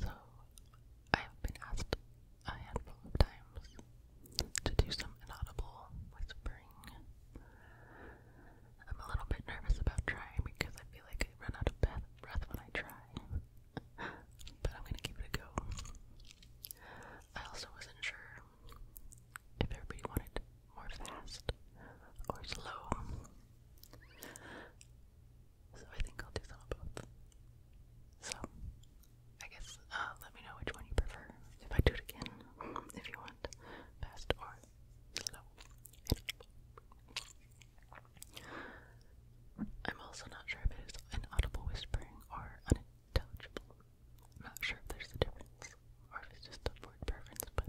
So, I have been asked a handful of times to do some inaudible whispering. I'm a little bit nervous about trying because I feel like I run out of breath when I try. But I'm gonna give it a go. I also wasn't sure if everybody wanted more fast or slow. So I think I'll do some both. So, I guess, uh, let me know which one you prefer. If I do it again, if you want, fast or slow. I'm also not sure if it is an audible whispering or unintelligible. not sure if there's a difference or if it's just a word preference, but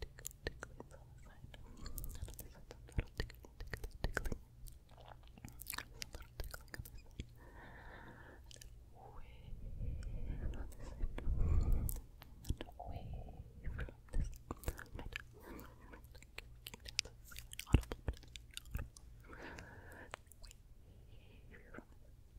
tickle, tickle, it's all side, some little tickling, tickling, tickling. Some little tickling on this side. And then way on this side. And away from this right.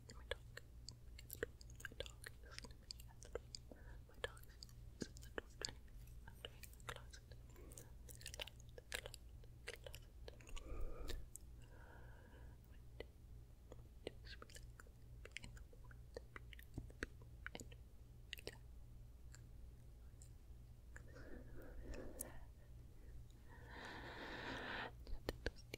and my dog is at the door. My dog is listening to me at the door. My dog is at the door trying to get out of the closet. The closet, the closet, the closet. My dog is relaxing, be in the moment, be in the be, and relax. Just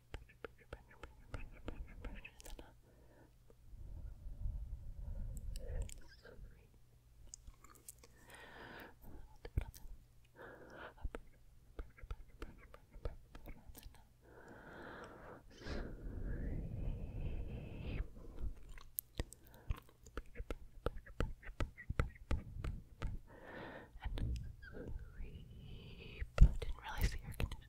and sleep. didn't realize the air conditioning